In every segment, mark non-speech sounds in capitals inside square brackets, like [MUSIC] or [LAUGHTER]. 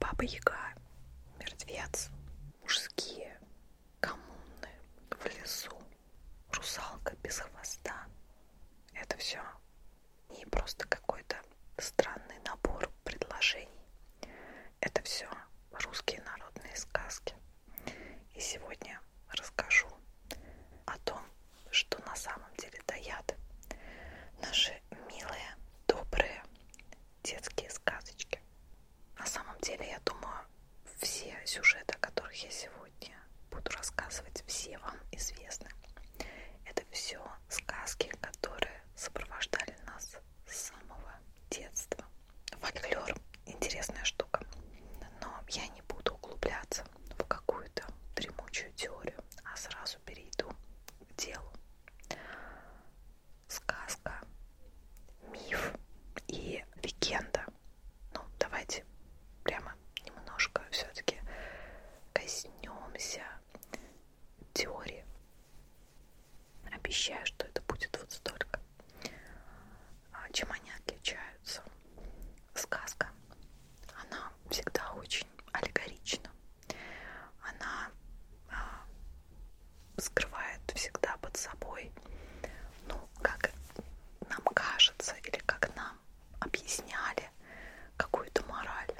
Баба Яга, мертвец, мужские, коммуны, в лесу, русалка без хвоста. Это все не просто какой-то странный набор предложений. Это все русские народные сказки. И сегодня расскажу о том, что на самом деле таят наши милые, добрые детские сказочки. На самом деле, я думаю, все сюжеты, о которых я сегодня буду рассказывать, все вам известны. Это все сказки, которые сопровождали нас с самого детства. Фольклор интересная штука, но я не буду углубляться в какую-то дремучую теорию, а сразу перейду делу. Сказка, миф и легенда. Ну, давайте прямо немножко все-таки коснемся теории. Обещаю, что это будет вот столько. А, чем они отличаются? Сказка, она всегда очень аллегорична она а, скрывает всегда под собой, ну, как нам кажется или как нам объясняли какую-то мораль.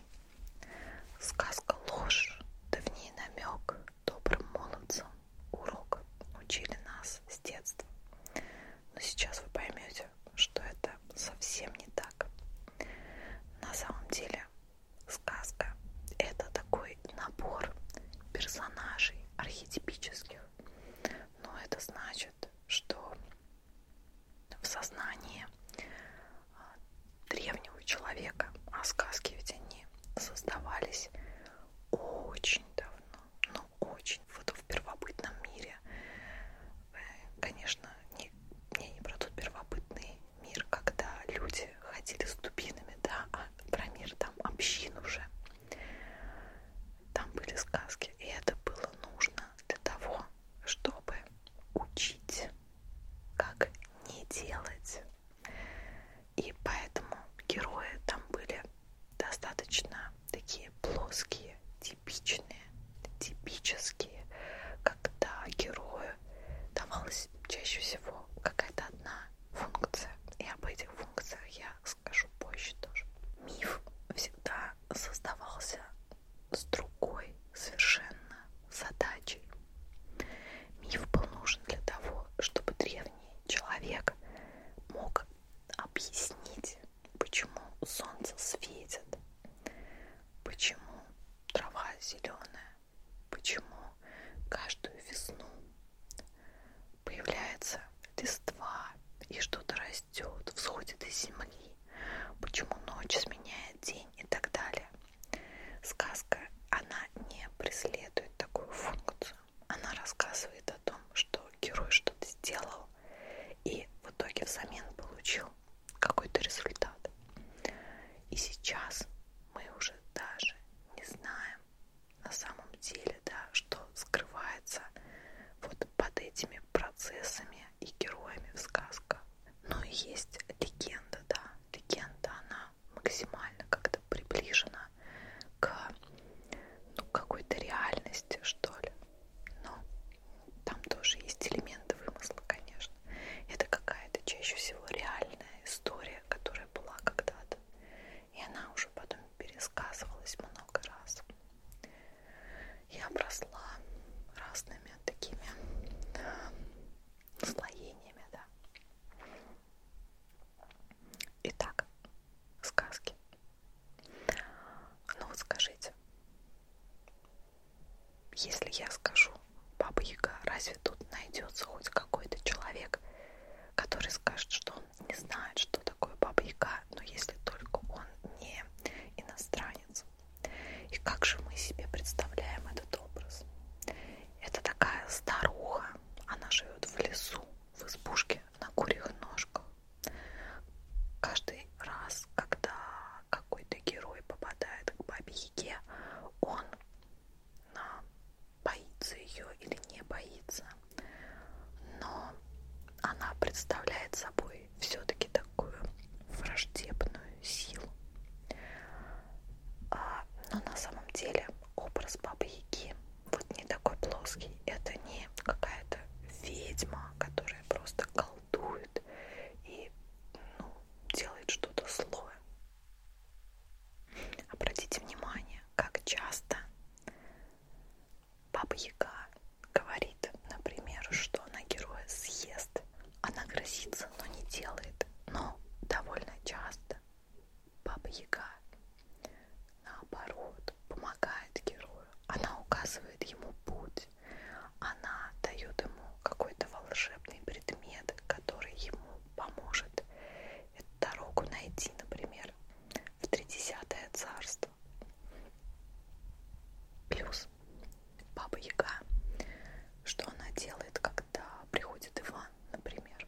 Сказка ложь, да в ней намек добрым молодцам урок учили нас с детства. Но сейчас вы поймете, что это совсем не так. На самом деле сказка это такой набор персонажей архетипических. Но это значит, что в сознании а, древнего человека, а сказки ведь они создавались очень давно, ну очень, вот в первобытном мире. Конечно, не, я не про тот первобытный мир, когда люди ходили с дубинами, да, а про мир там общин уже. Там были сказки, и это было нужно для того, чтобы учить, как не делать. И поэтому герои там были достаточно такие плоские, типичные, типические, когда герою давалась чаще всего какая-то одна функция. И об этих функциях я скажу позже тоже. Миф всегда создавался с другой совершенно задачей. Миф был нужен для того, чтобы древний человек мог объяснить, почему солнце светит, почему трава зеленая, почему каждую весну появляется листва и что-то растет, всходит из земли, почему ночь сменяет день и так далее. Сказка, она не преследует такую функцию. Она рассказывает о том, что герой что-то сделал и в итоге взамен получил какой-то результат. И сейчас мы уже даже не знаем на самом деле, да, что скрывается вот под этими процессами и героями в сказках. Но есть легенда, да, легенда, она максимально как-то приближена к ну, какой-то реальности, что ли. Но там тоже есть элементы вымысла, конечно это какая-то чаще всего реальная история, которая была когда-то. И она уже потом пересказывалась много раз. Я обросла разными такими э, слоениями, да. Итак, сказки. Ну вот скажите, если я скажу Баба Яга, разве тут найдется хоть какой-то человек, который скажет, что он не знает, что такое Баба Яга, но если только он не иностранец. И как же мы себе представляем этот образ? Это такая старуха, она живет в лесу, в избушке на курьих ножках. Каждый раз, когда какой-то герой попадает к бабе Яге, он а, боится ее или не боится, но она представляет собой все-таки такую враждебную силу. А, но на самом деле образ бабы Яги вот не такой плоский. Это не какая-то ведьма, которая просто колдует и ну, делает что-то злое. Обратите внимание, как часто Баба Яга говорит, например, что она героя съест. Она грозится, но не делает. Но довольно часто Баба Яга наоборот помогает герою. Она указывает ему путь она дает ему какой-то волшебный предмет, который ему поможет эту дорогу найти, например, в тридесятое царство. Плюс Баба Яга, что она делает, когда приходит Иван, например,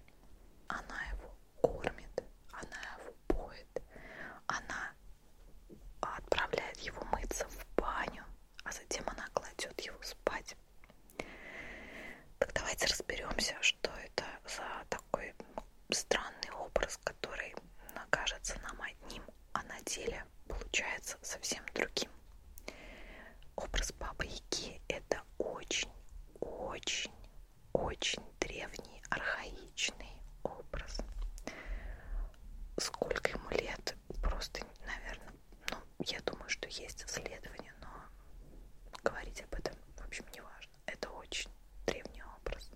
она его кормит, она его поет, она отправляет его мыться в баню, а затем она кладет его спать. Так давайте разберемся, что это за такой странный образ, который кажется нам одним, а на деле получается совсем другим. Образ Бабы Яги – это очень-очень-очень древний, архаичный образ. Сколько ему лет, просто, наверное, ну, я думаю, что есть исследования, но говорить об этом, в общем, не важно. Это очень древний образ.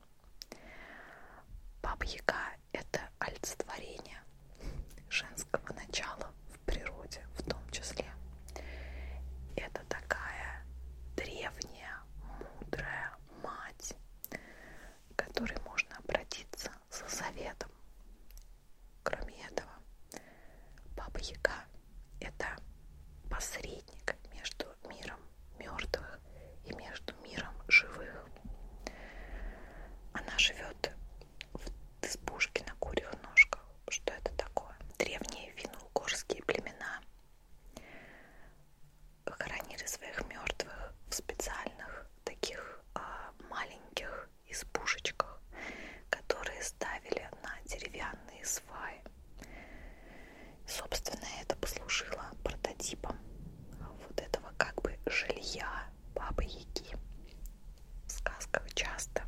Баба Яга – это олицетворение женского начала в природе, в том числе. Это такая древняя, мудрая мать, к которой можно обратиться за советом, Кроме этого, Баба Яга – это посредник между миром мертвых и между миром живых. Она живет в избушке на курьих ножках. Что это такое? Древние финно-угорские племена хоронили своих мертвых в специальных таких а, маленьких избушечках, которые ставили на деревянные сваи. Собственно, это послужило прототипом вот этого как бы жилья Бабы Яги. В сказках часто,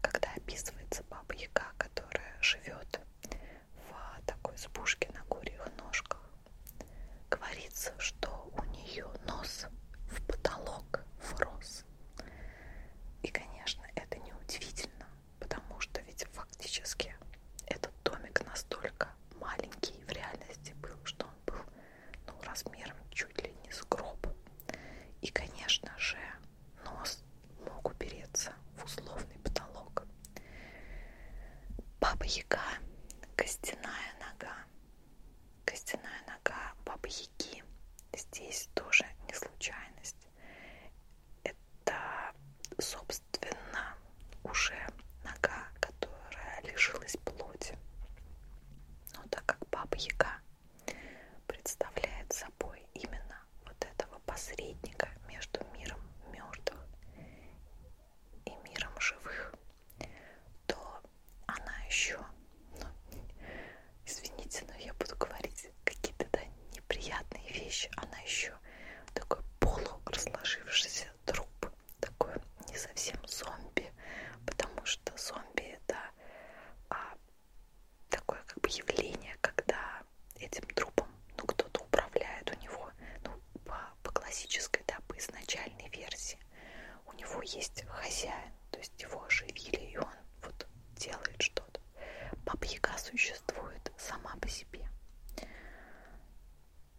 когда описывается Баба Яга, которая живет в такой избушке на курьих ножках, говорится, что у нее нос в потолок врос. И, конечно, это неудивительно, потому что ведь фактически этот домик настолько маленький в реальности был, что он был ну, размером чуть ли не с гроб. И, конечно же, нос мог упереться в условный потолок. Баба-яга, костяная нога, Костяная нога бабьяки. Здесь тоже не случайность. Это, собственно, уже нога, которая лишилась плоти. Но так как баба-яга представляет собой именно вот этого посредника между миром мертвых и миром живых, то она еще, ну, извините, но я буду говорить какие-то да, неприятные вещи, она еще такой полуразложившийся труп, такой не совсем зомби, потому что зомби это а, такое как бы явление, когда этим трупом ну, кто-то управляет у него, ну, по, по классической, да, по изначальной версии у него есть хозяин, то есть его оживили, и он вот делает что-то. Баба-яга существует сама по себе.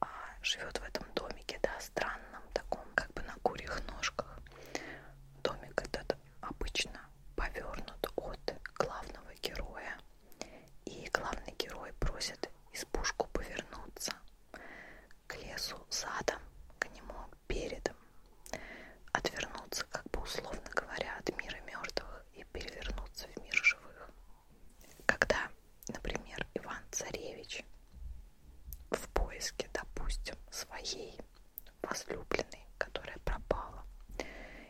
А живет в этом домике, да, странном таком, как бы на курьих ножках. Домик этот обычно повернут от главного героя. И главный герой просит избушку повернуться к лесу задом, к нему передом, отвернуться, как бы условно говоря, от мира мертвых и перевернуться в мир живых. Когда, например, Иван Царевич в поиске, допустим, своей возлюбленной, которая пропала,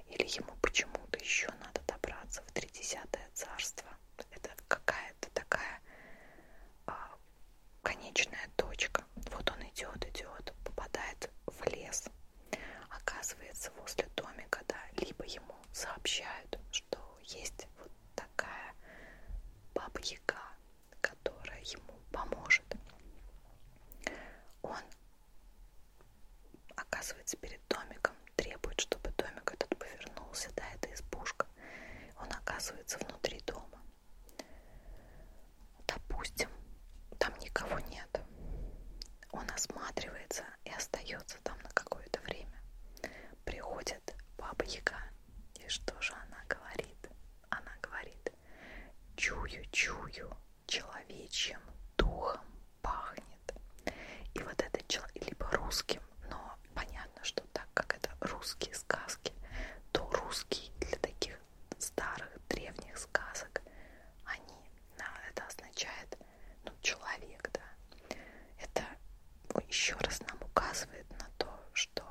или ему почему-то еще надо добраться в Тридесятое царство, это какая-то такая а, конечная точка. Вот он идет, идет, попадает в лес. Оказывается, возле домика, да, либо ему сообщают, что есть вот такая бабьяка, которая ему поможет. Он оказывается перед домиком, требует, чтобы домик этот повернулся, да, это избушка. Он оказывается внутри дома. Допустим, там никого нет. Он осматривается и остается там на какое-то время. Приходит баба Яга. И что же она говорит? Она говорит, чую-чую, человечьим духом пахнет. И вот этот человек, либо русским, но понятно, что так как это русские сказки, то русский для таких старых древних сказок, они, да, это означает, ну, человек, да, это ну, еще раз нам указывает на то, что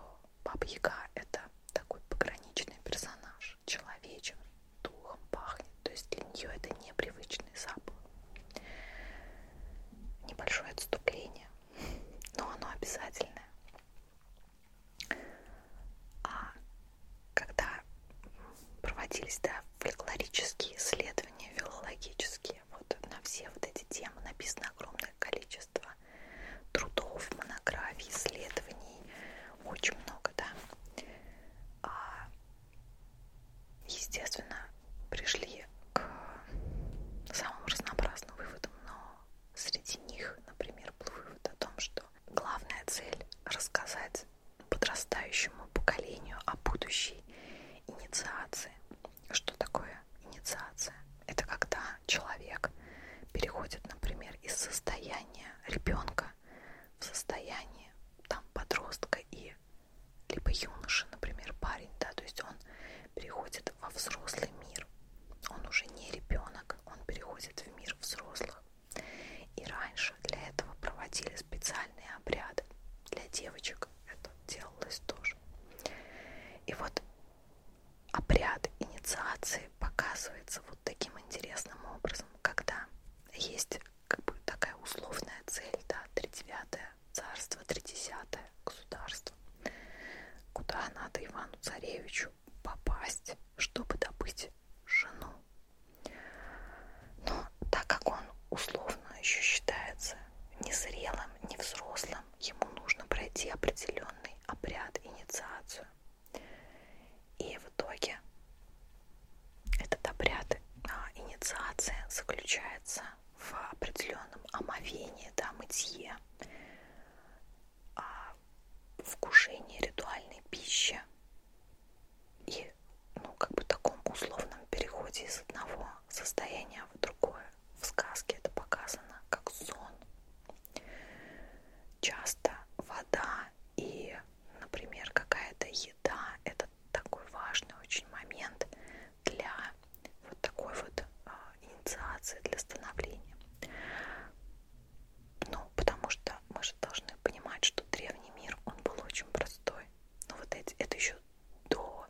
Баба Яга это такой пограничный персонаж, человечен, духом пахнет, то есть для нее это непривычный запах. Небольшое отступление, но оно обязательное. А когда проводились да, фольклорические исследования, филологические, вот на все вот эти темы написано огромное количество трудов, монографий, исследований, очень много, да. А, естественно, пришли к самым разнообразным выводам, но среди них, например, был вывод о том, что Главная цель – рассказать подрастающему поколению о будущей инициации. Что такое инициация? Это когда человек переходит, например, из состояния ребенка в состояние там подростка и либо юноши, например, парень, да, то есть он переходит во взрослый мир. Он уже не ребенок, он переходит в мир взрослых. И раньше для этого проводили специальные обряды. Для девочек это делалось тоже. И вот обряд инициации показывается вот таким интересным образом, когда есть как бы такая условная цель, да, 39 царство, 30 государство, куда надо Ивану Царевичу ночью попасть, чтобы добыть жену. Но так как он условно еще считается незрелым, невзрослым, ему нужно пройти определенный обряд, инициацию. И в итоге этот обряд, а, инициация заключается в определенном омовении, да, мытье а вкушении ритуальной пищи и, ну, как бы таком условном переходе из одного состояния в другое. В сказке это показано как сон. Часто вода и, например, какая-то еда – это такой важный очень момент для вот такой вот а, инициации, для становления. Ну, потому что мы же должны понимать, что древний мир, он был очень простой. Но вот эти, это еще до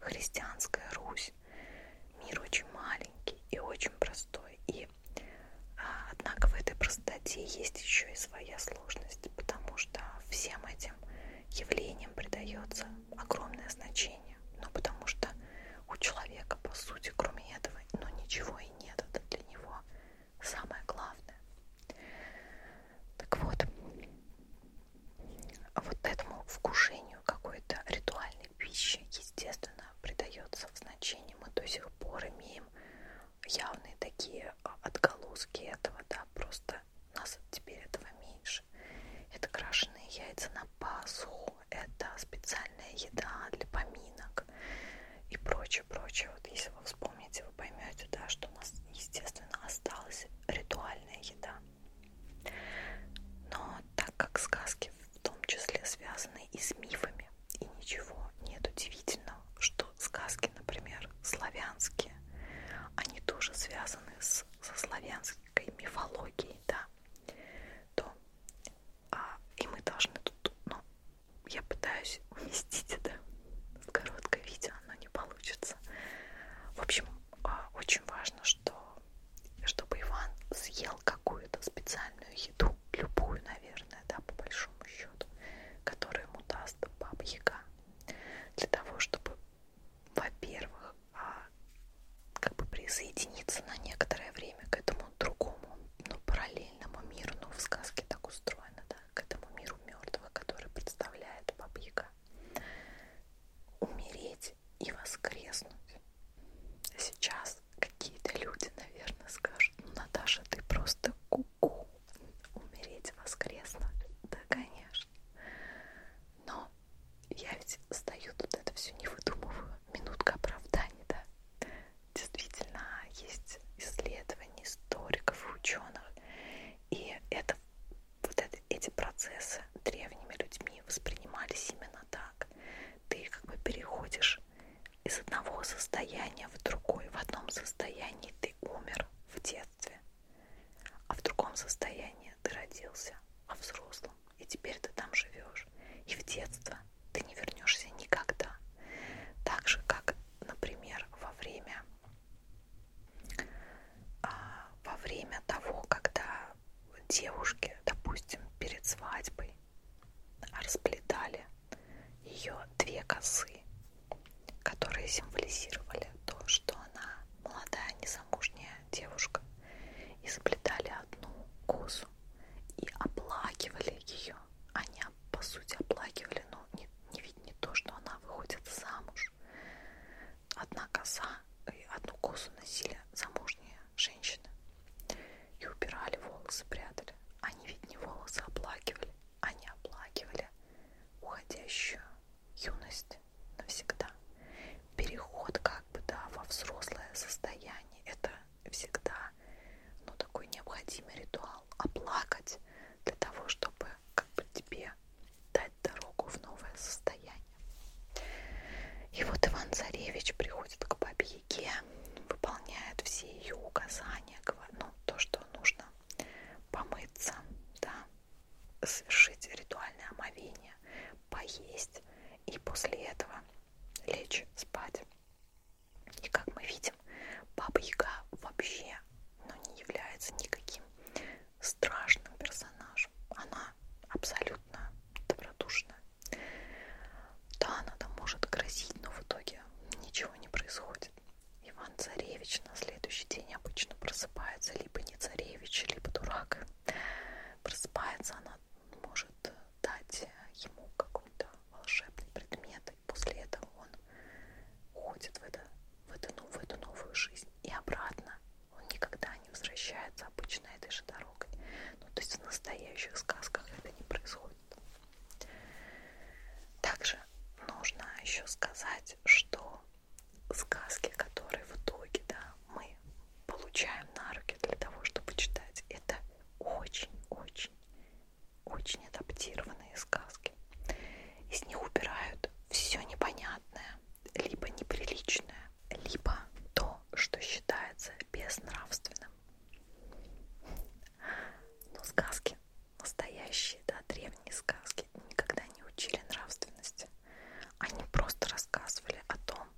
христианская Русь. Мир очень маленький и очень простой. И, а, однако, в этой простоте есть еще и своя сложность, потому что всем этим явлениям придается огромное значение. Ну, потому что у человека, по сути, кроме этого, ну, ничего и нет. Это для него самое главное. Так вот, вот этому вкушению какой-то ритуальной пищи, естественно, придается в значении. Мы до сих пор имеем явные такие а, отголоски этого, да, просто нас теперь этого меньше. Это крашеные яйца на Пасху, это специальная еда для поминок, язык и прочее, прочее. Вот если вы вспомните, вы поймете, да, что у нас, естественно, осталась ритуальная еда. Но так как сказки в том числе связаны и с мифами, и ничего нет удивительного, что сказки, например, славянские, они тоже связаны с, со славянской мифологией, да, то а, и мы должны тут ну, я пытаюсь [LAUGHS] уместить это в короткое видео, но не получится. В общем, а, очень важно, что чтобы Иван съел какую-то специальную еду, любую, наверное, да, по большому счету, которую ему даст баба Яга, для того, чтобы, во-первых, а, как бы присоединиться на некоторое время к этому этому другому, но ну, параллельному миру, но ну, в сказке так устроено, да, к этому миру мертвого, который представляет Баба Яга, умереть и воскреснуть. Сейчас какие-то люди, наверное, скажут, ну, Наташа, ты просто куку, -ку. умереть, воскреснуть, да, конечно. Но я ведь стою тут, это все не выдумываю, минутка оправдания, да действительно есть исследования историков и ученых, и это, вот это, эти процессы древними людьми воспринимались именно так. Ты как бы переходишь из одного состояния в другое. В одном состоянии ты умер в детстве, а в другом состоянии ты родился, а взрослым, и теперь ты там живешь. И в детство ты не вернешься никогда. Так же, как, например, во время, а, во время того, когда девушки, допустим, перед свадьбой расплетали ее две косы, которые символизировали то, что она молодая незамужняя девушка, и заплетали одну косу и оплакивали ее они, по сути, оплакивали, но не, не ведь не то, что она выходит замуж. Одна коса и одну косу носили замужние женщины. И убирали волосы, прятали. Они ведь не волосы оплакивали, они оплакивали уходящую юность навсегда. Переход как бы, да, во взрослое состояние. Это всегда ну, такой необходимый ритуал оплакать для того, чтобы как бы тебе дать дорогу в новое состояние. И вот Иван Царевич приходит к бабе Яге, выполняет все ее указания, ну, то, что нужно помыться, да, совершить ритуальное омовение, поесть и после этого лечь спать. И как мы видим, Баба Яга вообще но ну, не является никаким страшным персонажем. Она абсолютно добродушная. Да, она там может грозить, но в итоге ничего не происходит. Иван Царевич на следующий день обычно просыпается либо не царевич, либо дурак. Просыпается она может дать ему какой-то волшебный предмет и после этого он уходит в, это, в, эту, в эту новую жизнь и обратно. Он никогда не возвращается обычно этой же дорогой. Ну, то есть в настоящих сказках это не происходит. Также нужно еще сказать, что сказки, которые в итоге да, мы получаем на руки для того, чтобы читать, это очень-очень очень адаптированные сказки. Из них убирают все непонятное, либо неприличное, либо то, что считается безнравственным. Но сказки, настоящие, да, древние сказки, никогда не учили нравственности. Они просто рассказывали о том,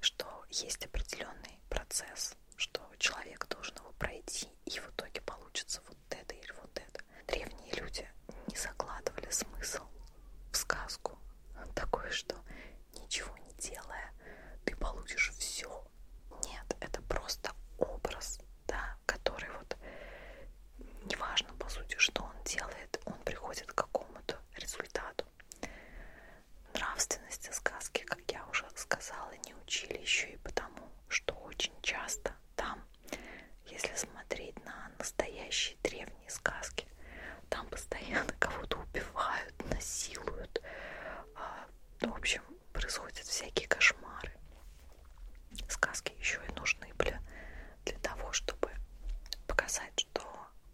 что есть определенный процесс, что человек должен его пройти, и в итоге получится вот это или вот это. Древние люди не закладывали смысл в сказку. Такое, что ничего не делая, ты получишь все. Нет, это просто образ, да, который вот неважно, по сути, что он делает, он приходит к какому-то результату. Нравственности сказки, как я уже сказала, не учили еще и потому, что очень часто там, если смотреть на настоящие древние сказки, там постоянно кого-то убивают, насилуют. А, ну, в общем, происходят всякие кошмары. Сказки еще и нужны были для того, чтобы показать, что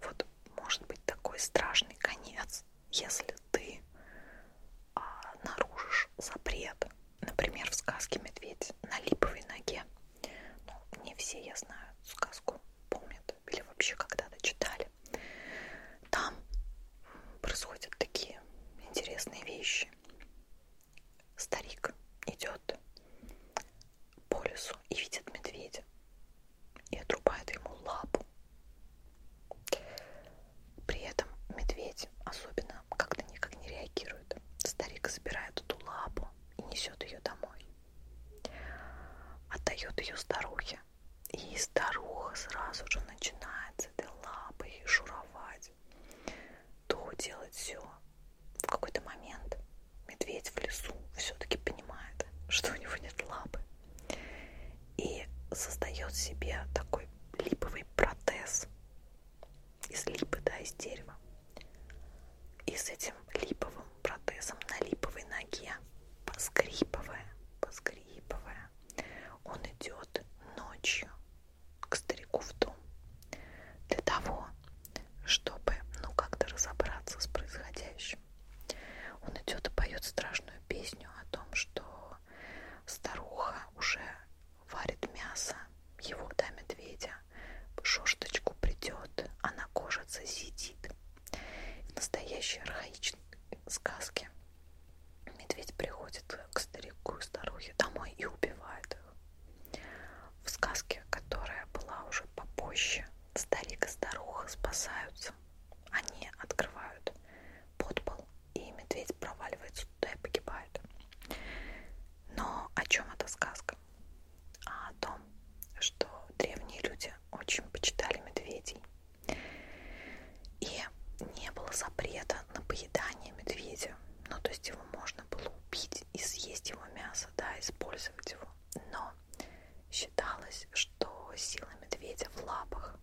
вот может быть такой страшный конец, если ты а, нарушишь запрет. Например, в сказке «Медведь на липовой ноге». Ну, не все, я знаю, сказку помнят или вообще когда-то читали. Там происходят такие интересные вещи. Старик идет по лесу и видит медведя и отрубает ему лапу. При этом медведь особенно как-то никак не реагирует. Старик забирает эту лапу и несет ее домой. Отдает ее старухе. И старуха сразу же начинает с этой лапой шуровать. То делать все. В какой-то момент медведь в лесу все-таки понимает, что у него нет лапы. И создает себе такой липовый протез из липы, да, из дерева. И с этим липовым протезом на липовой ноге, поскрипывая, поскрипывая, он идет ночью к старику в дом для того, чтобы, ну, как-то разобраться с происходящим. Он идет и поет страшную песню о том, что старуха уже варит мясо, его до медведя, в шорточку придет, она а кожица сидит. В настоящей архаичной сказке медведь приходит к старику и старухе домой и убивает их. В сказке, которая была уже попозже, старик и старуха спасаются. Они открывают подпол и медведь проваливается туда и погибает. Но о чем эта сказка? А о том, что древние люди очень почитали медведей. И не было запрета на поедание медведя. Ну, то есть его можно было убить и съесть его мясо, да, использовать его. Но считалось, что сила медведя в лапах.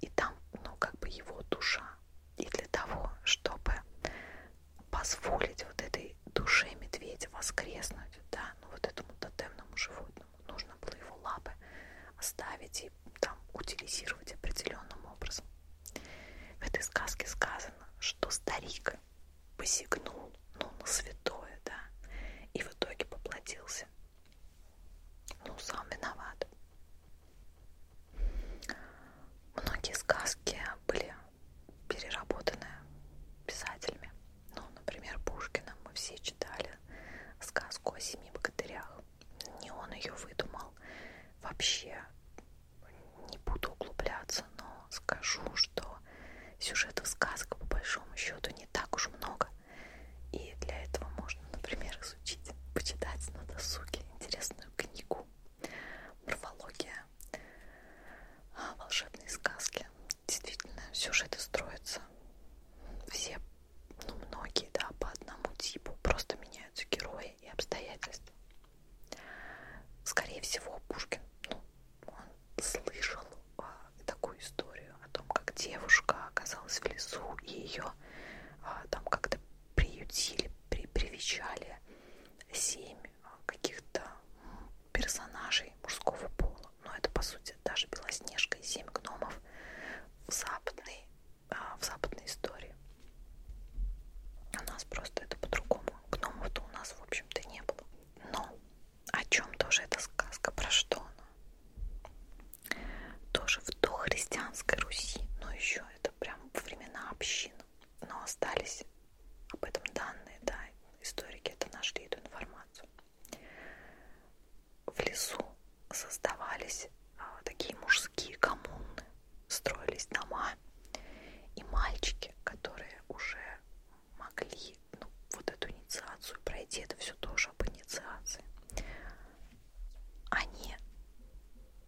И там, ну, как бы его душа, и для того, чтобы позволить вот этой душе медведя воскреснуть, да, ну вот этому тотемному животному нужно было его лапы оставить и там утилизировать определенным образом. В этой сказке сказано, что старик посягнул, ну, на святое, да, и в итоге поплатился. Ну, сам виноват. Многие сказки были переработаны писателями. Ну, например, Пушкина мы все читали сказку о семи богатырях. Не он ее выдумал. Вообще не буду углубляться, но скажу, что сюжетов сказок по большому счету не так уж много. И для этого можно, например, изучить, почитать на досуге интересную книгу «Морфология. А, волшебные сказки». Действительно, сюжеты строятся все, ну многие, да, по одному типу, просто меняются герои и обстоятельства. Скорее всего, Пушкин, ну, он слышал а, такую историю о том, как девушка оказалась в лесу и ее а, там как-то приютили, при, привечали семь а, каких-то персонажей мужского пола. Но ну, это, по сути, даже Белоснежка и семь гномов в западной, а, в западной истории. У нас просто это по-другому. Гномов-то у нас, в общем-то, не было. Но о чем тоже эта сказка? Про что она? Тоже в дохристианской Руси, но еще это прям времена общин, но остались об этом данные, да, историки это нашли эту информацию. В лесу создавались а, такие мужские коммуны, строились дома, и мальчики, которые уже могли ну, вот эту инициацию пройти, это все тоже об инициации, они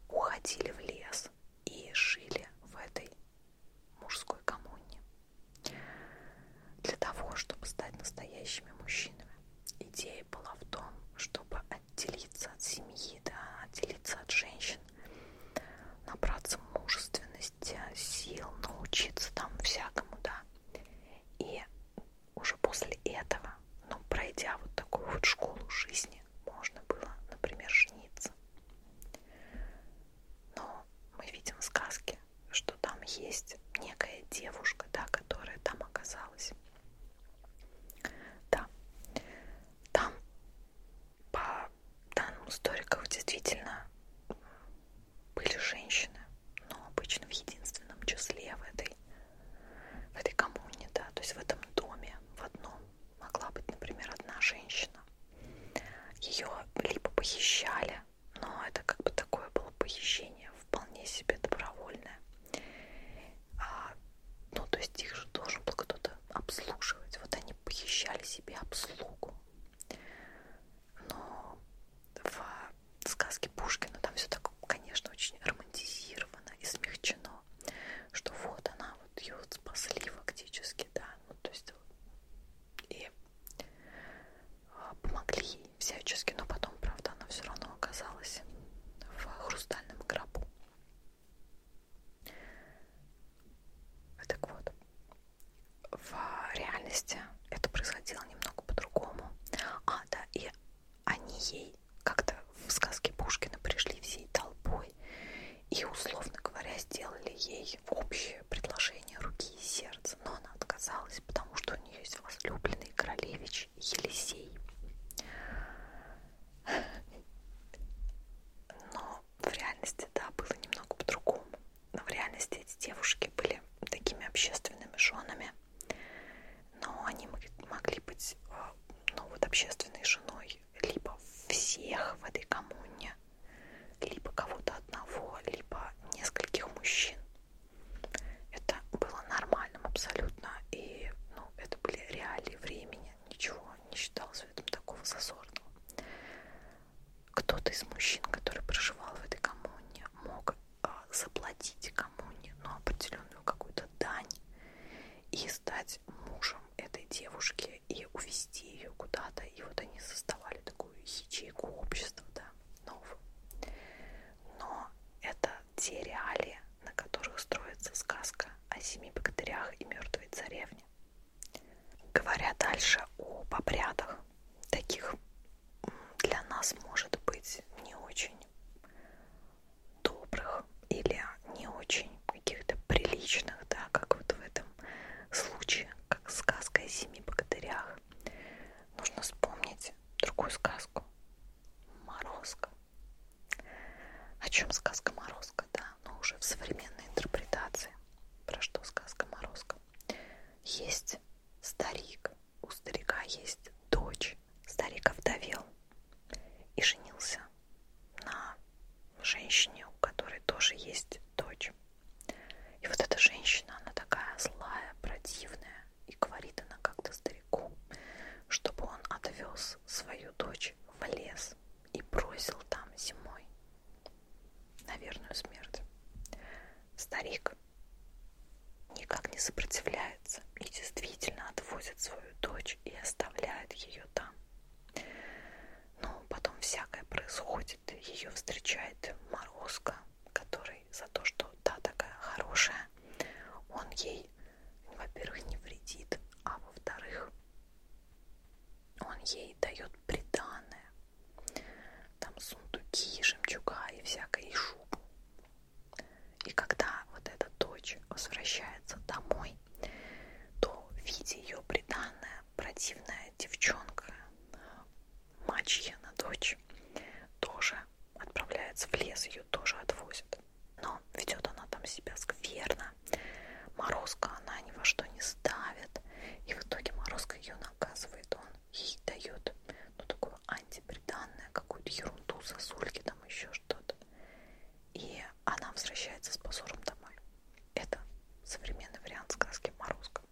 уходили в лес и жили в этой мужской коммуне. Для того, чтобы стать настоящими мужчинами, идея была в том, чтобы отделиться от семьи, да, отделиться от женщин, набраться мужественности, сил, научиться там всякому, да. И уже после этого, ну, пройдя вот такую вот школу жизни, жизни можно было, например, жениться. Но мы видим в сказке, что там есть некая девушка, да, которая там оказалась. Да, там по данным историков действительно были женщины, но обычно в единственном числе в этой, в этой коммуне, да, то есть в этом доме, в одном могла быть, например, одна женщина. Ее либо похищали, но это как бы такое было похищение, вполне себе добровольное. А, ну, то есть их же должен был кто-то обслуживать. Вот они похищали себе обслугу. Но в сказке Пушкина там все так, конечно, очень романтизировано и смягчено, что вот она вот ее вот спасли фактически, да, ну то есть и а, помогли всячески, но потом, правда, она все равно оказалась в хрустальном гробу. Так вот, в реальности это происходило немного по-другому. А, да, и они ей как-то в сказке Пушкина пришли всей толпой и, условно говоря, сделали ей общее предложение руки и сердца, но она отказалась, потому что у нее есть возлюбленный королевич Елисей. Но в реальности, да, было немного по-другому. Но в реальности эти девушки были такими общественными женами, но они могли быть, э, ну вот общественной женой либо всех в этой коммуне, либо кого-то одного, либо нескольких мужчин. Это было нормальным абсолютно, и ну, это были реалии времени, ничего не считалось в этом такого зазорного. Кто-то из мужчин, который проживал в этой коммуне, мог э, заплатить коммуне, но ну, определенную какую-то дань и стать мужем мужем этой девушки и увезти ее куда-то. И вот они создавали такую ячейку общества, да, новую. Но это те реалии, на которых строится сказка о семи богатырях и мертвой царевне. Говоря дальше об обрядах, таких для нас может быть не очень добрых или не очень каких-то приличных, да, как вот в этом случае, как сказка о семи богатырях. Нужно вспомнить другую сказку. Морозко. О чем сказка Морозко, да, но ну, уже в современной интерпретации. Про что сказка Морозко? Есть старик, у старика есть дочь, старик овдовел и женился на женщине, у которой тоже есть дочь. И вот эта женщина, она такая злая, противная, и говорит она как-то старику, чтобы он отвез свою дочь в лес и бросил там зимой на верную смерть. Старик никак не сопротивляется и действительно отвозит свою дочь и оставляет ее там. Но потом всякое происходит. Ее встречает Морозко, который за то, что та такая хорошая, он ей, во-первых, не вредит, а во-вторых, он ей дает приданное. Там сундуки, жемчуга и всякое, и шубу. И когда вот эта дочь возвращается домой, то видя ее приданная противная девчонка, мачья на дочь, тоже отправляется в лес, ее тоже отвозят. Но ведет она там себя скверно. Морозка она ни во что не ставит. И в итоге Морозка ее наказывает. Он ей дает ну, такое антиприданное, какую-то ерунду, сосульки, там еще что-то. И она возвращается с позором домой. Это современный вариант сказки Морозко.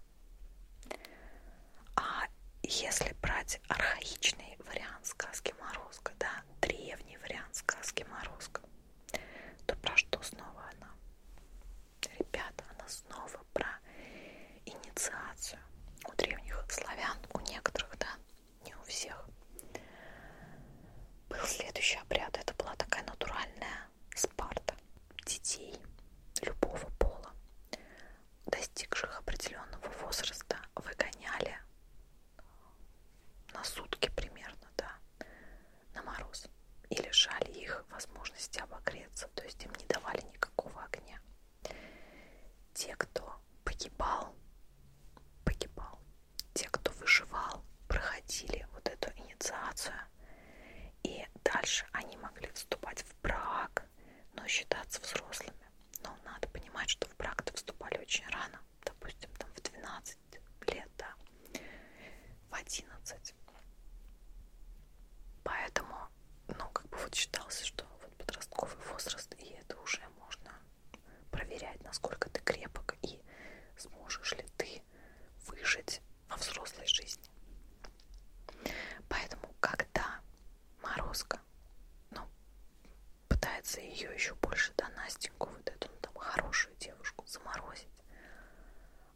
А если брать архаичный вариант сказки Морозко, да, древний вариант сказки Морозко, то про что снова она? Ребята, она снова про инициацию у древних славян, у некоторых, да, не у всех был следующий обряд. Это была такая натуральная спарта детей любого пола, достигших определенного возраста, выгоняли на сутки примерно, да, на мороз и лишали их возможности обогреться, то есть им не давали никакого огня. Те, кто погибал, погибал те, кто выживал, проходили вот эту инициацию, и дальше они могли вступать в брак, но считаться взрослыми. Но надо понимать, что в брак-то вступали очень рано, допустим, там в 12 лет, да, в 11. Поэтому, ну, как бы вот считался, что вот подростковый возраст, и это уже можно проверять, насколько ты крепок ребенка и сможешь ли ты выжить во взрослой жизни. Поэтому, когда Морозко ну, пытается ее еще больше, да, Настеньку, вот эту ну, там хорошую девушку заморозить,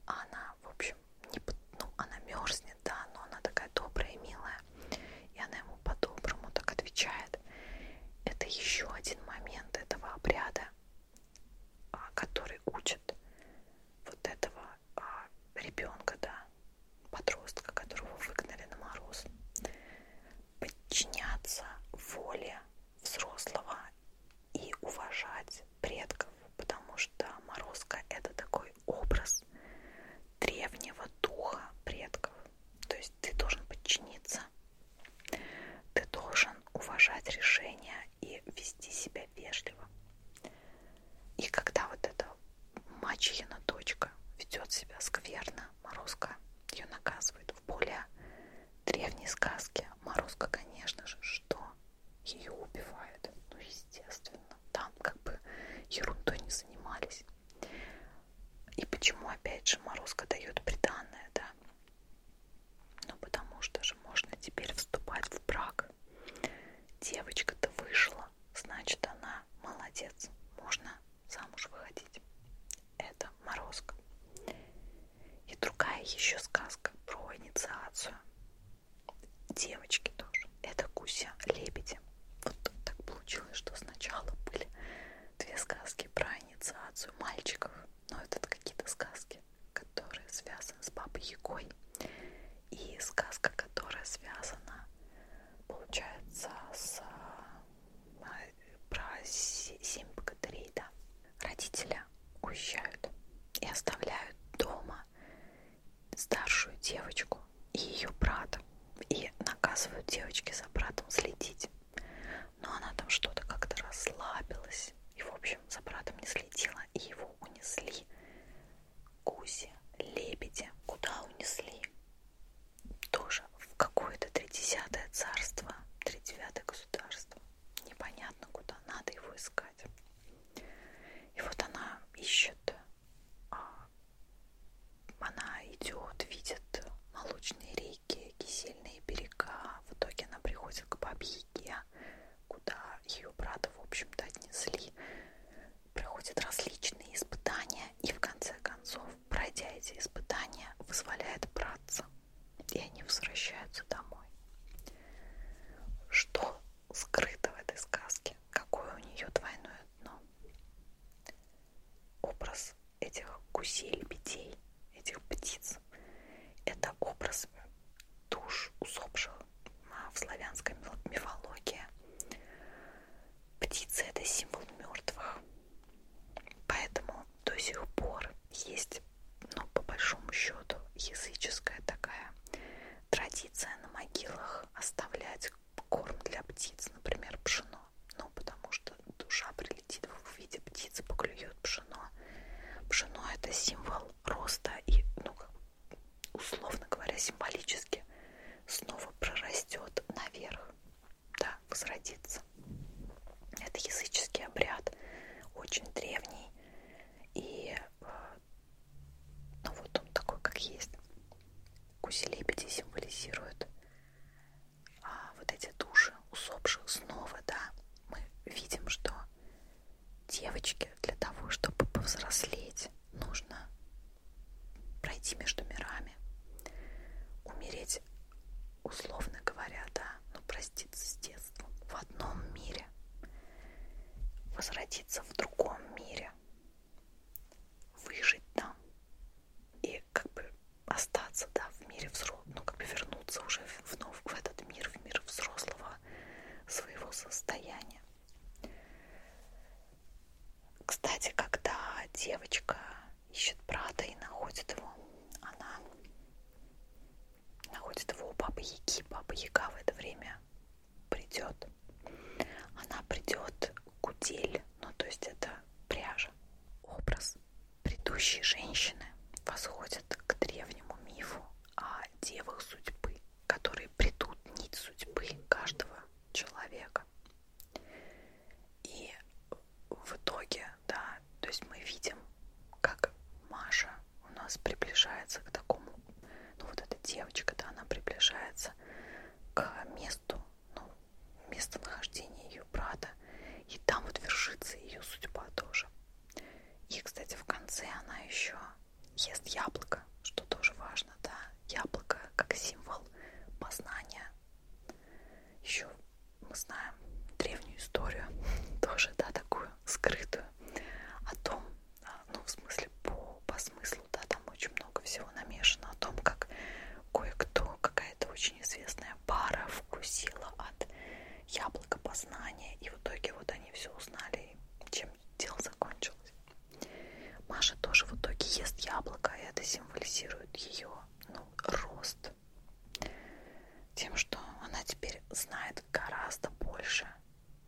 а она, в общем, не, ну, она мерзнет, да, но она такая добрая и милая, и она ему по-доброму так отвечает. Это еще один момент этого обряда, а, который учит вот этого а, ребенка, да, подростка, которого выгнали на мороз, подчиняться воле взрослого и уважать предков, потому что морозка это такой образ древнего духа предков. То есть ты должен подчиниться ты должен уважать решения и вести себя вежливо. И когда вот эта мачехина дочка ведет себя скверно, Морозко ее наказывает в более древней сказке. Морозко, конечно же, что? Ее убивают. Ну, естественно. Там как бы ерундой не занимались. И почему, опять же, Морозко дает приданное, да? Ну, потому что же можно теперь вступать в брак. Девочка-то вышла, значит, она молодец. Можно замуж выходить. Это морозка. И другая еще сказка про инициацию. Девочки тоже. Это Куся Лебеди. Вот так получилось, что сначала были две сказки про инициацию мальчиков. Но это какие-то сказки который связан с Бабой Ягой, и сказка, которая связана, получается, с а, про семь богатырей, да. Родителя уезжают и оставляют дома старшую девочку и ее брата и наказывают девочки за братом следить. Но она там что-то как-то расслабилась. И, в общем, за братом не следила. И его унесли гуси, лебеди. Куда унесли? Тоже в какое-то тридесятое царство, тридевятое государство. Непонятно куда, надо его искать. И вот она ищет, а, она идет, видит молочные реки, кисельные берега. В итоге она приходит к бабье Ригге, куда ее брата, в общем-то, отнесли, проходит различные испытания и, в конце концов, пройдя эти испытания, вызволяет братца, и они возвращаются домой. Что скрыто в этой сказке? Какое у нее двойное дно? Образ этих гусей-лебедей этих птиц это образ душ усопших в славянской мифологии. Птица это символ мертвых, поэтому до сих пор есть, ну, по большому счету, языческая такая традиция на могилах оставлять корм для птиц, например, пшено. Ну, потому что душа прилетит в виде птицы, поклюет пшено пшено. Пшено это символ роста и, ну, условно говоря, символически снова прорастет наверх, да, возродится. Это языческий обряд, очень древний и э, ну вот он такой, как есть. Гуси-лебеди символизируют а, вот эти души усопших снова, да. Мы видим, что Девочки для того, чтобы повзрослеть, нужно пройти между мирами, умереть, условно говоря, да, но проститься с детством в одном мире, возродиться в другом мире, выжить там и как бы остаться, да, в мире взрослых взрослого, ну, как бы вернуться уже вновь в этот мир, в мир взрослого своего состояния. Кстати, когда девочка ищет брата и находит его, она находит его у Бабы Яги. Баба Яга в это время придет. Она придет кудель, ну то есть это пряжа, образ Предыдущие женщины восходят к древнему мифу о девах судьбы, которые придут нить судьбы каждого человека. И в итоге, да, то есть мы видим, как Маша у нас приближается к такому, ну вот эта девочка, да, она приближается к месту, ну, местонахождения ее брата, и там вот вершится ее судьба тоже. И, кстати, в конце она еще ест яблоко, что тоже важно, да, яблоко как символ познания. Еще мы знаем древнюю историю, [LAUGHS] тоже, да, такую скрытую, о том, а, ну, в смысле, по, по смыслу, да, там очень много всего намешано, о том, как кое-кто, какая-то очень известная пара вкусила от яблоко познания. И в итоге вот они все узнали, чем дело закончилось. Маша тоже в итоге ест яблоко, и это символизирует ее ну, рост. Тем, что она теперь знает гораздо больше,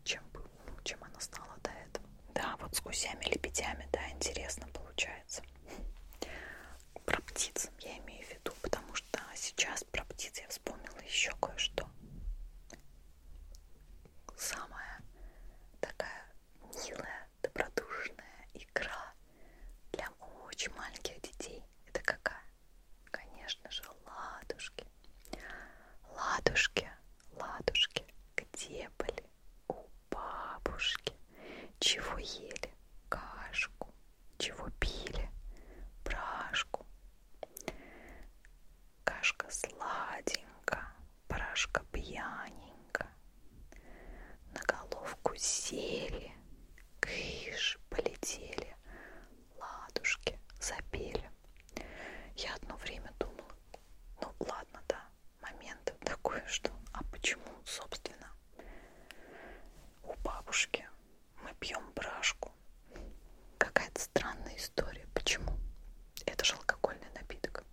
чем, ну, чем она знала до этого. Да, вот с гусями-лебедями, да, интересно получается. Про птиц я имею в виду, потому что сейчас про птиц я вспомнила еще кое-что. Самая такая милая, добродушная игра для очень маленьких детей. Это какая? Конечно же, ладушки. Ладушки, ладушки, где были у бабушки? Чего ели? Кашку, чего пили, брашку. Кашка сладенько, брашка пьяненько. На головку сели, кыш, полетели, ладушки запели. Я одно время думала, ну ладно, да, момент такой, что а почему, собственно, у бабушки мы пьем брашку. Какая-то странная история. Почему? Это же алкогольный напиток.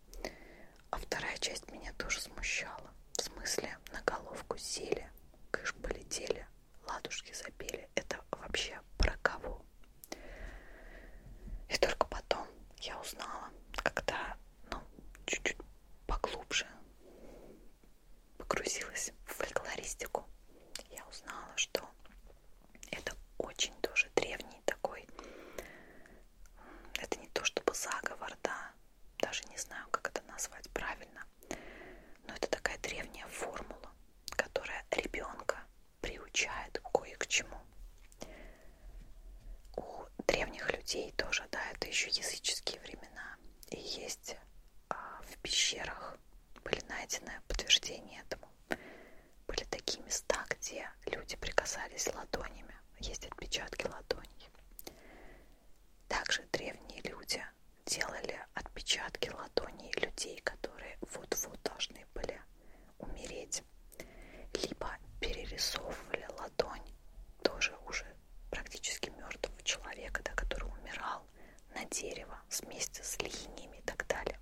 А вторая часть меня тоже смущала. В смысле, на головку сели, кыш полетели, ладушки запели. Это вообще про кого? И только потом я узнала, когда, ну, чуть-чуть поглубже погрузилась в фольклористику, я узнала, что это очень тоже древний такой, это не то чтобы заговор, да, даже не знаю, как это назвать правильно, но это такая древняя формула, которая ребенка приучает кое к чему. У древних людей тоже, да, это еще языческие времена. И есть а, в пещерах были найдены подтверждения этому. Были такие места, где люди прикасались ладонями, есть отпечатки ладоней. Также древние люди делали отпечатки ладоней людей, которые вот-вот должны были умереть. Либо перерисовывали ладонь тоже уже практически мертвого человека, да, который умирал, на дерево вместе с линиями и так далее.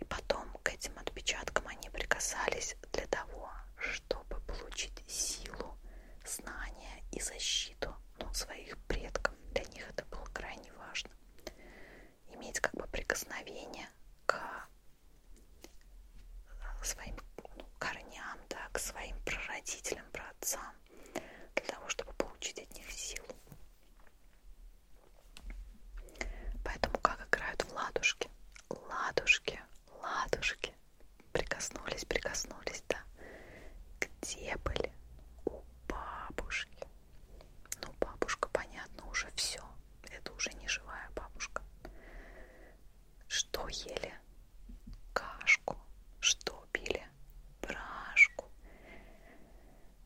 И потом к этим отпечаткам они прикасались для того, чтобы получить силу, знания и защиту ну, своих предков. Для них это было крайне важно. Иметь как бы прикосновение к э, своим ну, корням, да, к своим прародителям, праотцам, для того, чтобы получить от них силу. Поэтому как играют в ладушки? Ладушки, ладушки. Прикоснулись, прикоснулись, да. Где были? У бабушки. Ну, бабушка, понятно, уже все. Это уже не живая бабушка. Что ели? Кашку. Что пили? брашку.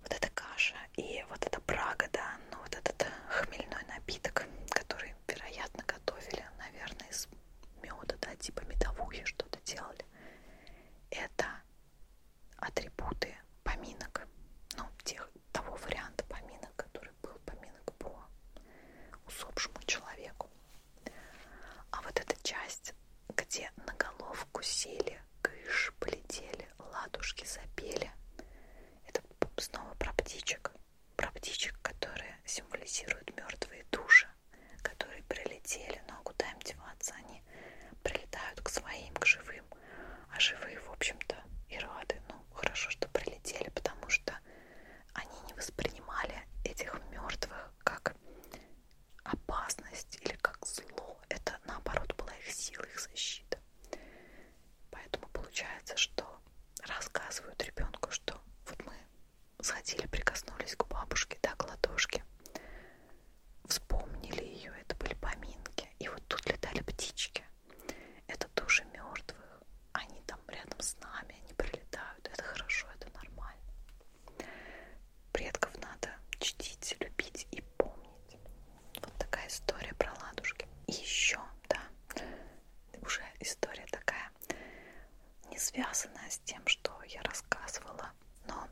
Вот эта каша и вот эта брага, да, но ну, вот этот хмельной напиток, который, вероятно, готовили, наверное, из меда, да, типа медовухи что-то делали. Это атрибуты поминок, ну, тех, того варианта поминок, который был поминок по усопшему человеку. А вот эта часть, где на головку сели кыш, полетели, ладушки запели. Это снова про птичек. Про птичек, которые символизируют мертвые души, которые прилетели, но ну, а куда им деваться? Они прилетают к своим, к живым. А живые, в общем-то, и рады. Ну, хорошо, что прилетели, потому что они не воспринимали этих мертвых как опасность или как зло. Это наоборот была их сила, их защита. Поэтому получается, что рассказывают ребенку, что вот мы сходили, прикоснулись к бабушке, да, к ладошке, вспомнили ее, это были поминки. И вот тут летали птички. Это души мертвых. Они там рядом с нами, они прилетают. Это хорошо, это нормально предков надо чтить, любить и помнить. Вот такая история про ладушки. И еще, да, уже история такая, не связанная с тем, что я рассказывала, но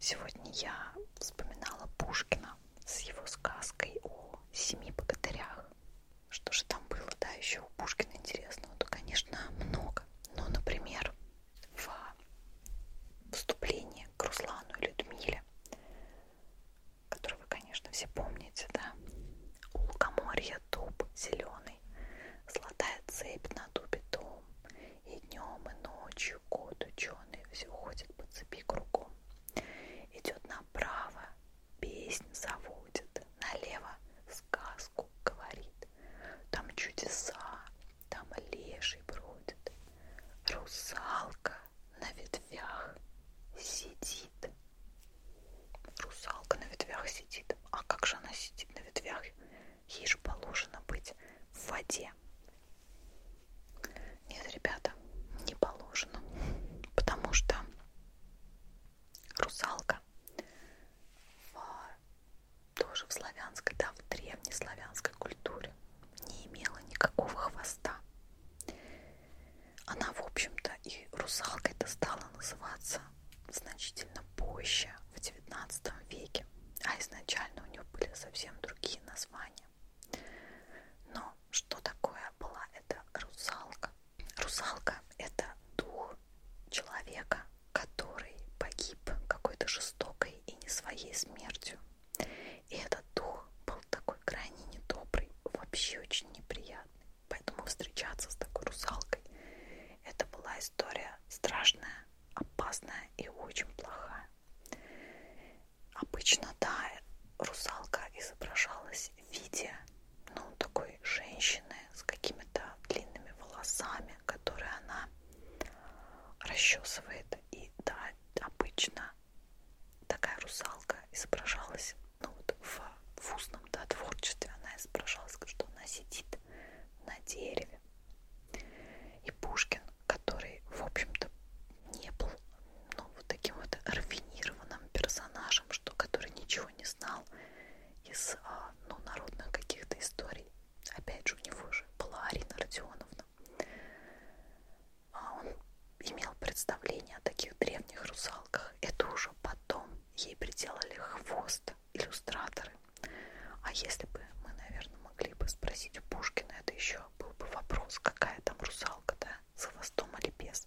сегодня я вспоминала Пушкина с его сказкой о семи богатырях. Что же там было, да, еще у Пушкина интересного? То, конечно, много. Но, например, в вступлении к Руслану и Людмиле, который вы, конечно, все помните, да? У лукоморья дуб зеленый, золотая цепь на дубе дом, и днем, и ночью кот ученый все ходит по цепи кругом. Идет направо, песнь заводит, налево сказку говорит. Там чудеса, там леший бродит, русалка на ветвях сидит. Русалка на ветвях сидит. А как же она сидит на ветвях? Ей же положено быть в воде. Нет, ребята, не положено. Потому что русалка в тоже в славянской, да, в древнеславянской культуре не имела никакого хвоста. Она, в общем-то, и русалкой-то стала называться значительно позже, в XIX веке, а изначально у нее были совсем другие названия. Но что такое была эта русалка? Русалка – это дух человека, который погиб какой-то жестокой и не своей смертью. И этот дух был такой крайне недобрый, вообще очень неприятный. Поэтому встречаться с такой русалкой это была история страшная, опасная и очень плохая. Обычно, да, русалка изображалась в виде, ну, такой женщины с какими-то длинными волосами, которые она расчесывает. И да, обычно такая русалка изображалась, ну вот в, в устном да, творчестве она изображалась, что она сидит на дереве. И Пушкин, который, в общем-то, не был ну, вот таким вот рафинированным персонажем, что, который ничего не знал из а, ну, народных каких-то историй. Опять же, у него же была Арина Родионовна, а он имел представление о таких древних русалках. Это уже потом ей приделали хвост иллюстраторы. А если бы мы, наверное, могли бы спросить у Пушкина, это еще был бы вопрос, какая там русалка, да, с хвостом или без.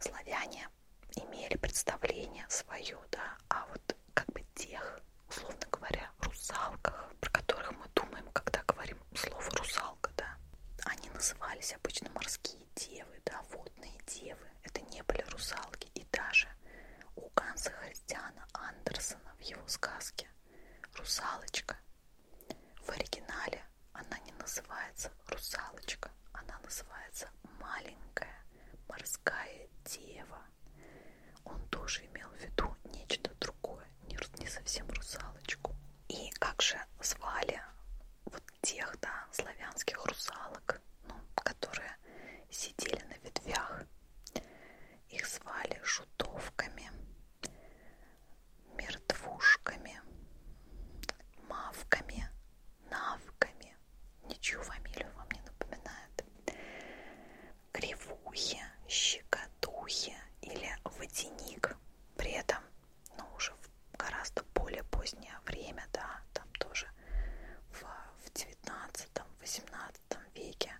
Славяне имели представление свое, да, а вот как бы тех условно говоря, русалках, про которых мы думаем, когда говорим слово русалка, да. Они назывались обычно морские девы, да, водные девы. Это не были русалки. И даже у Ганса Христиана Андерсона в его сказке «Русалочка» в оригинале она не называется «Русалочка», она называется «Маленькая морская дева» он тоже имел в виду нечто другое, не совсем русалочку. И как же звали вот тех, да, славянских русалок, ну, которые сидели на ветвях. Их звали шутовками, мертвушками, мавками, навками. Ничью фамилию вам не напоминает кривухи, щекотухи или водяник. При этом, ну, уже в гораздо более позднее время, да, там тоже в, в 19-18 веке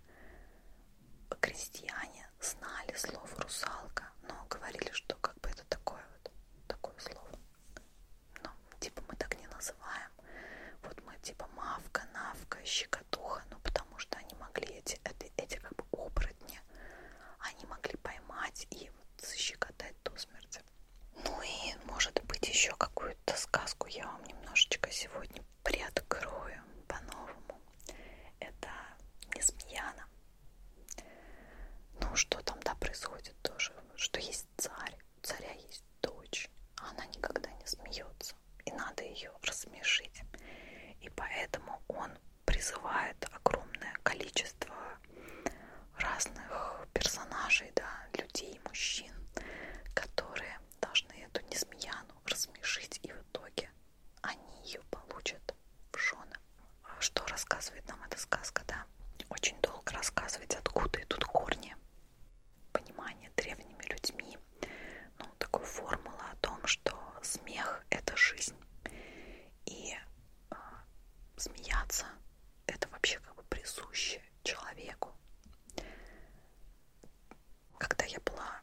крестьяне знали слово русалка, но говорили, что как бы это такое вот, такое слово. Ну, типа мы так не называем. Вот мы типа мавка, навка, щекотуха, ну потому что они могли эти, это эти как бы оборотни, они могли поймать и вот защекотать до смерти. Ну и, может быть, еще какую-то сказку я вам немножечко сегодня приоткрою по-новому. Это Несмеяна. Ну, что там, да, происходит тоже, что есть царь, у царя есть дочь, а она никогда не смеется ситуацию, и надо ее рассмешить. И поэтому он призывает огромное количество разных персонажей, да, людей, мужчин, которые должны эту несмеяну рассмешить, и в итоге они ее получат в жены. Что рассказывает нам эта сказка, да? Очень долго рассказывать, откуда идут корни понимания древними людьми ну, такую формулу о том, что смех — это жизнь. И э, смеяться — это вообще как бы присуще человеку. Когда я была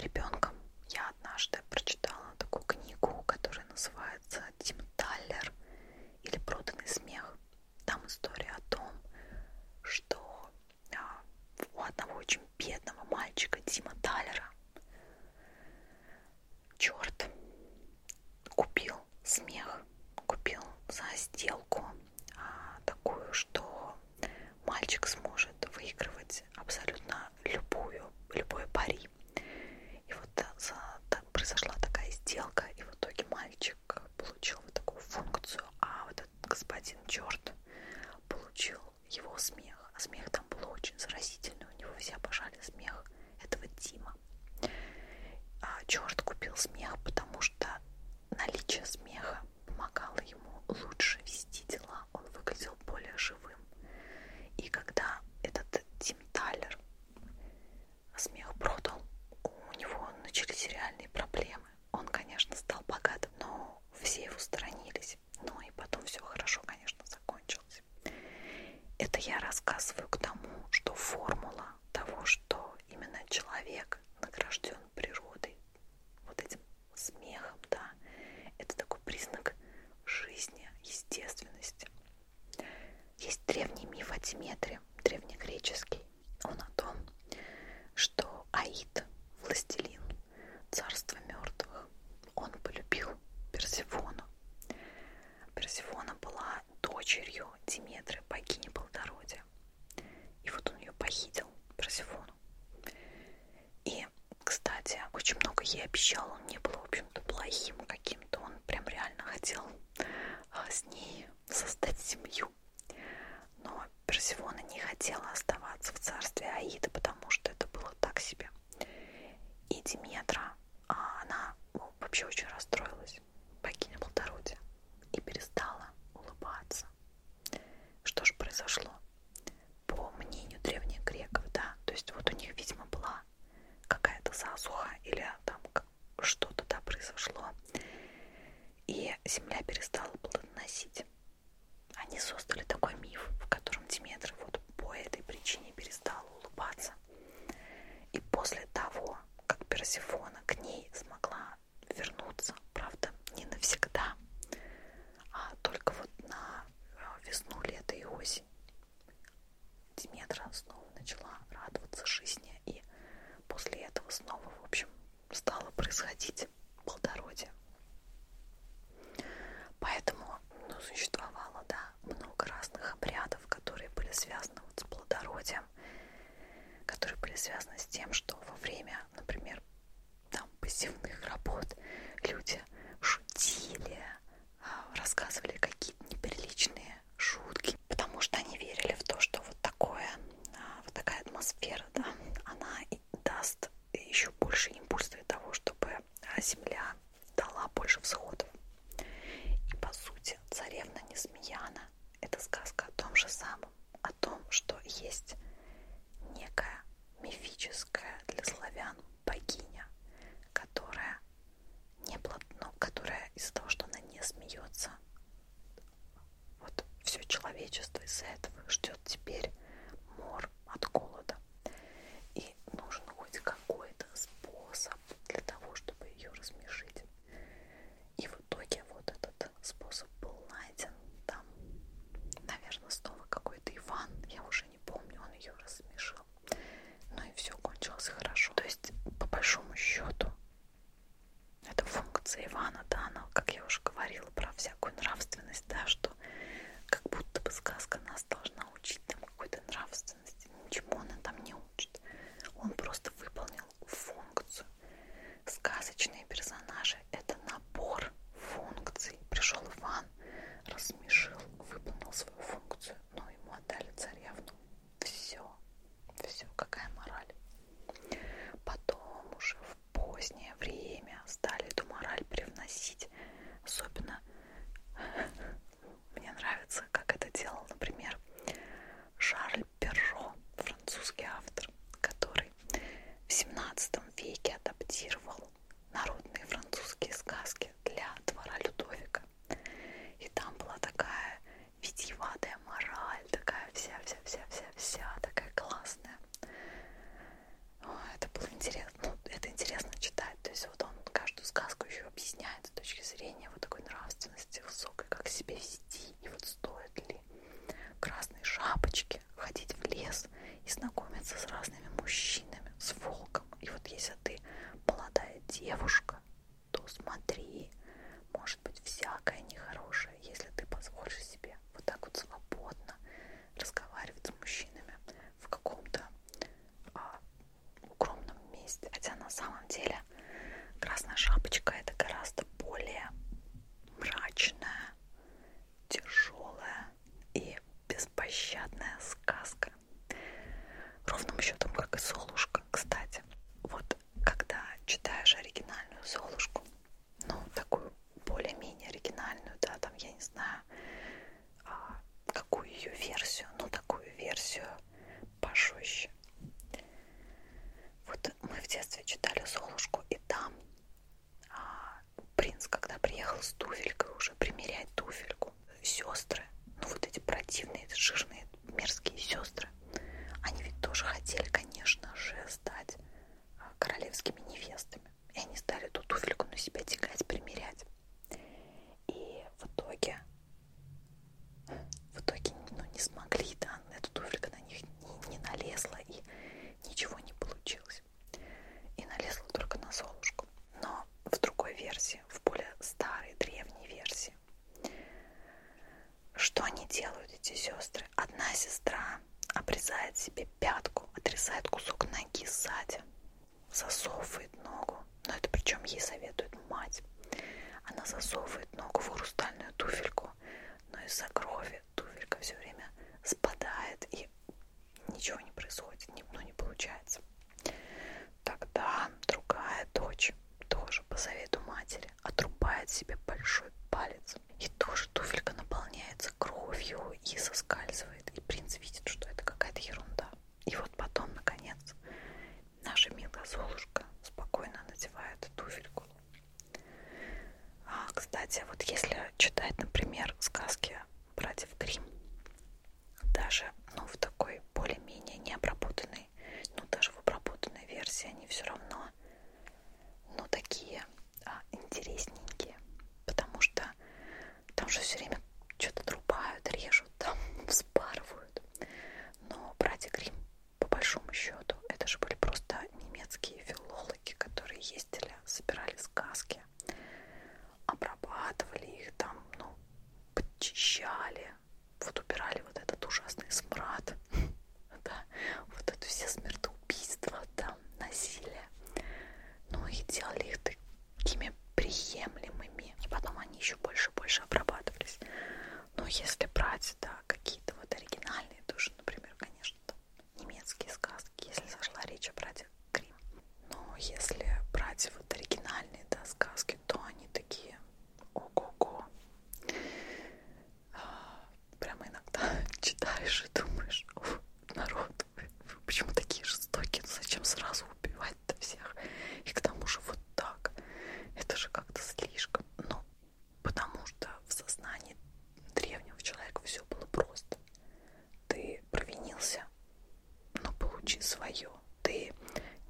ребенком, я однажды прочитала такую книгу, которая называется «Тим Таллер» или «Проданный смех». Там история о том, что у одного очень бедного мальчика Дима Талера. Черт, купил смех, купил за сделку а, такую, что мальчик сможет выигрывать абсолютно любую, любой пари. И вот за, так, произошла такая сделка, и в итоге мальчик получил вот такую функцию, а вот этот господин черт получил слышал его смех, а смех там был очень заразительный, у него все обожали смех этого Тима. А Черт купил смех, потому что наличие смеха помогало ему лучше вести дела, он выглядел более живым. И когда этот Тим Талер смех продал, у него начались реальные проблемы. Он, конечно, стал богатым, но все его сторонились сдалась. Ну и потом все хорошо, конечно, закончилось. Это я рассказываю к тому, что формула того, что именно человек награжден природой, вот этим смехом, да, это такой признак жизни, естественности. Есть древний миф о Диметре, древнегреческий. Он о том, что Аид, властелин царство мертвых. Он полюбил Персифону. Персифона была дочерью Диметры, богини плодородия. И вот он ее похитил, Персифону. И, кстати, очень много ей обещал. Он не был, в общем-то, плохим каким-то. Он прям реально хотел а, с ней создать семью. Но Персифона не хотела оставаться в царстве Аида, потому потому что это было так себе. И Диметра, а, она ну, вообще очень расстроилась, богиня плодородия, и перестала улыбаться. Что же произошло? По мнению древних греков, да, то есть вот у них, видимо, была какая-то засуха или там что-то да, произошло, и земля перестала плодоносить. Они создали такой миф, в котором Диметр вот по этой причине перестала улыбаться. И после того, как Персифона к ней смогла вернуться, правда, не навсегда, а только вот на э, весну, лето и осень, Диметра снова начала радоваться жизни, и после этого снова, в общем, стало происходить плодородие. Поэтому ну, существовало да, много разных обрядов, которые были связаны вот с плодородием, которые были связаны с тем, что во время, например, там посевных работ люди шутили, а, рассказывали какие-то неприличные шутки, потому что они верили в то, что вот такое, а, вот такая атмосфера, да, она даст еще больше импульс для того, чтобы а, земля дала больше всходов. И по сути, царевна Несмеяна – это сказка о том же самом, о том, что есть некая мифическая для славян богиня, которая не плотно, ну, которая из-за того, что она не смеется, вот все человечество из-за этого ждет теперь мор от голода это. И нужен хоть какой-то способ для того, чтобы ее размешить. И в итоге вот этот способ был найден. Там, наверное, снова какой-то Иван, я уже не помню, он ее размешил. Ну и все кончилось хорошо. То есть, по большому счету, это функция Ивана, да, она, как я уже говорила, про всякую нравственность, да, что как будто бы сказка нас должна учить там какой-то нравственности. Ничему она там не учит. Он просто выполнил функцию. Сказочные персонажи — это набор функций. Пришел Иван, рассмешил, выполнил свою функцию, но ему отдали царевну. Все. Все. Какая мораль? Потом уже в позднее время стали эту мораль привносить, особенно интересно. Мне нравится, как это делал, например, Шарль Перро, французский автор, который в 17 веке адаптировал народные французские сказки для двора Людовика. И там была такая витиеватая мораль, такая вся-вся-вся-вся-вся, такая классная это было интересно, ну, это интересно читать, то есть вот он каждую сказку еще объясняет с точки зрения вот такой нравственности высокой, как себя вести, и вот стоит ли красные шапочки ходить в лес и знакомиться с разными мужчинами, с волком, и вот если ты молодая девушка, то смотри, может быть всякое нехорошее, если ты позволишь себе вот так вот свободно разговаривать с мужчинами, в каком-то а, укромном месте. Хотя на самом деле красная шапочка это гораздо более мрачная, тяжелая и беспощадная сказка. Ровным счетом, как и Солушка, кстати. Вот когда читаешь оригинальную Солушку, ну, такую более-менее оригинальную, да, там, я не знаю, а, какую ее версию, но ну, такую версию пожестче. Вот мы в детстве читали Золушку, и там а, принц, когда приехал с туфелькой уже примерять туфельку, сестры, ну вот эти противные, жирные, мерзкие сестры, они ведь тоже хотели, конечно же, стать а, королевскими невестами. И они стали ту туфельку на себя тягать, примерять. И в итоге, в итоге ну, не смогли, да, эта туфелька на них не, не налезла и ничего не получилось. И налезла только на Золушку. Но в другой версии, в более старой, древней версии, что они делают, эти сестры? Одна сестра обрезает себе пятку, отрезает кусок ноги сзади засовывает ногу, но это причем ей советует мать. Она засовывает ногу в хрустальную туфельку, но из-за крови туфелька все время спадает и ничего не происходит, ну не получается. Тогда другая дочь тоже по совету матери отрубает себе большой палец и тоже туфелька наполняется кровью и соскальзывает делает, и принц видит, что это какая-то ерунда. И вот потом, наконец, наша милая Золушка спокойно надевает туфельку. А, кстати, вот если читать, например, сказки братьев Грим, даже ну, в такой более-менее необработанной, ну даже в обработанной версии они все равно ну, такие а, интересненькие, потому что там же все время что-то трубают, режут, там [LAUGHS] вспарывают. Но братья Грим, по большому счету, это же были просто немецкие филологи, которые ездили, собирали сказки, обрабатывали их там, ну, подчищали, вот убирали вот этот ужасный смрад, [LAUGHS] да, вот это все смертоубийства, там, насилие. Ну и делали их ими приемлемыми. И потом они еще больше и больше обрабатывались. Но если брать, да, какие-то вот оригинальные души, например, конечно, там, немецкие сказки, если зашла речь о братьях Грим. Но если брать вот оригинальные, да, сказки, то они такие ого-го. А, прямо иногда [LAUGHS] читаешь и думаешь, народ, вы, вы почему такие жестокие? Ну, зачем сразу убивать-то всех? И к тому же вот так. Это же как-то слишком. Ну, потому что в сознании древнего человека все было просто. Ты провинился, но получи свое. Ты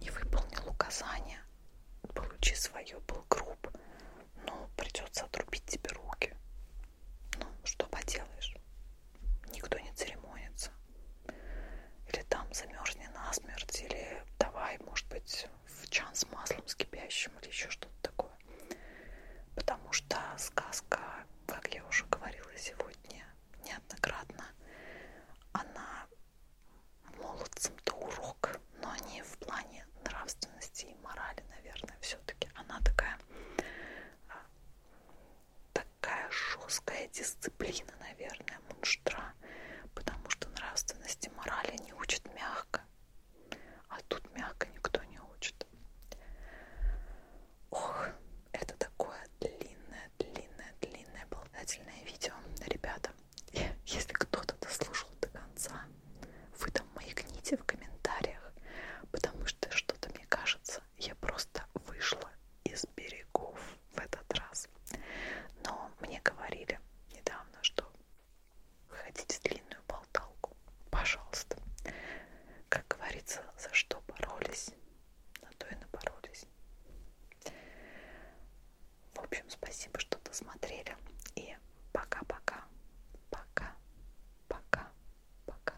не выполнил указания, получи свое, был груб. Ну, придется отрубить тебе руки. Ну, что поделаешь? никто не церемонится. Или там замерзни насмерть, или давай, может быть, в чан с маслом, с кипящим, или еще что-то такое. Потому что сказка, как я уже говорила сегодня неоднократно, она молодцам-то урок, но не в плане нравственности и морали, наверное, все-таки. Она такая, а, так, такая жесткая дисциплина, наверное, мунштра, потому что нравственности морали не учат мягко, а тут мягко никто не учит. Ох, это такое длинное, длинное, длинное обладательное видео, ребята. Если кто-то дослушал до конца, вы там маякните в комментариях, потому что что-то мне кажется, я просто вышла из берегов в этот раз. Но мне говорили недавно, что хотите длинную болталку, пожалуйста. Как говорится, за что боролись, на то и напоролись. В общем, спасибо, что досмотрели. И пока-пока. Пока. Пока. Пока.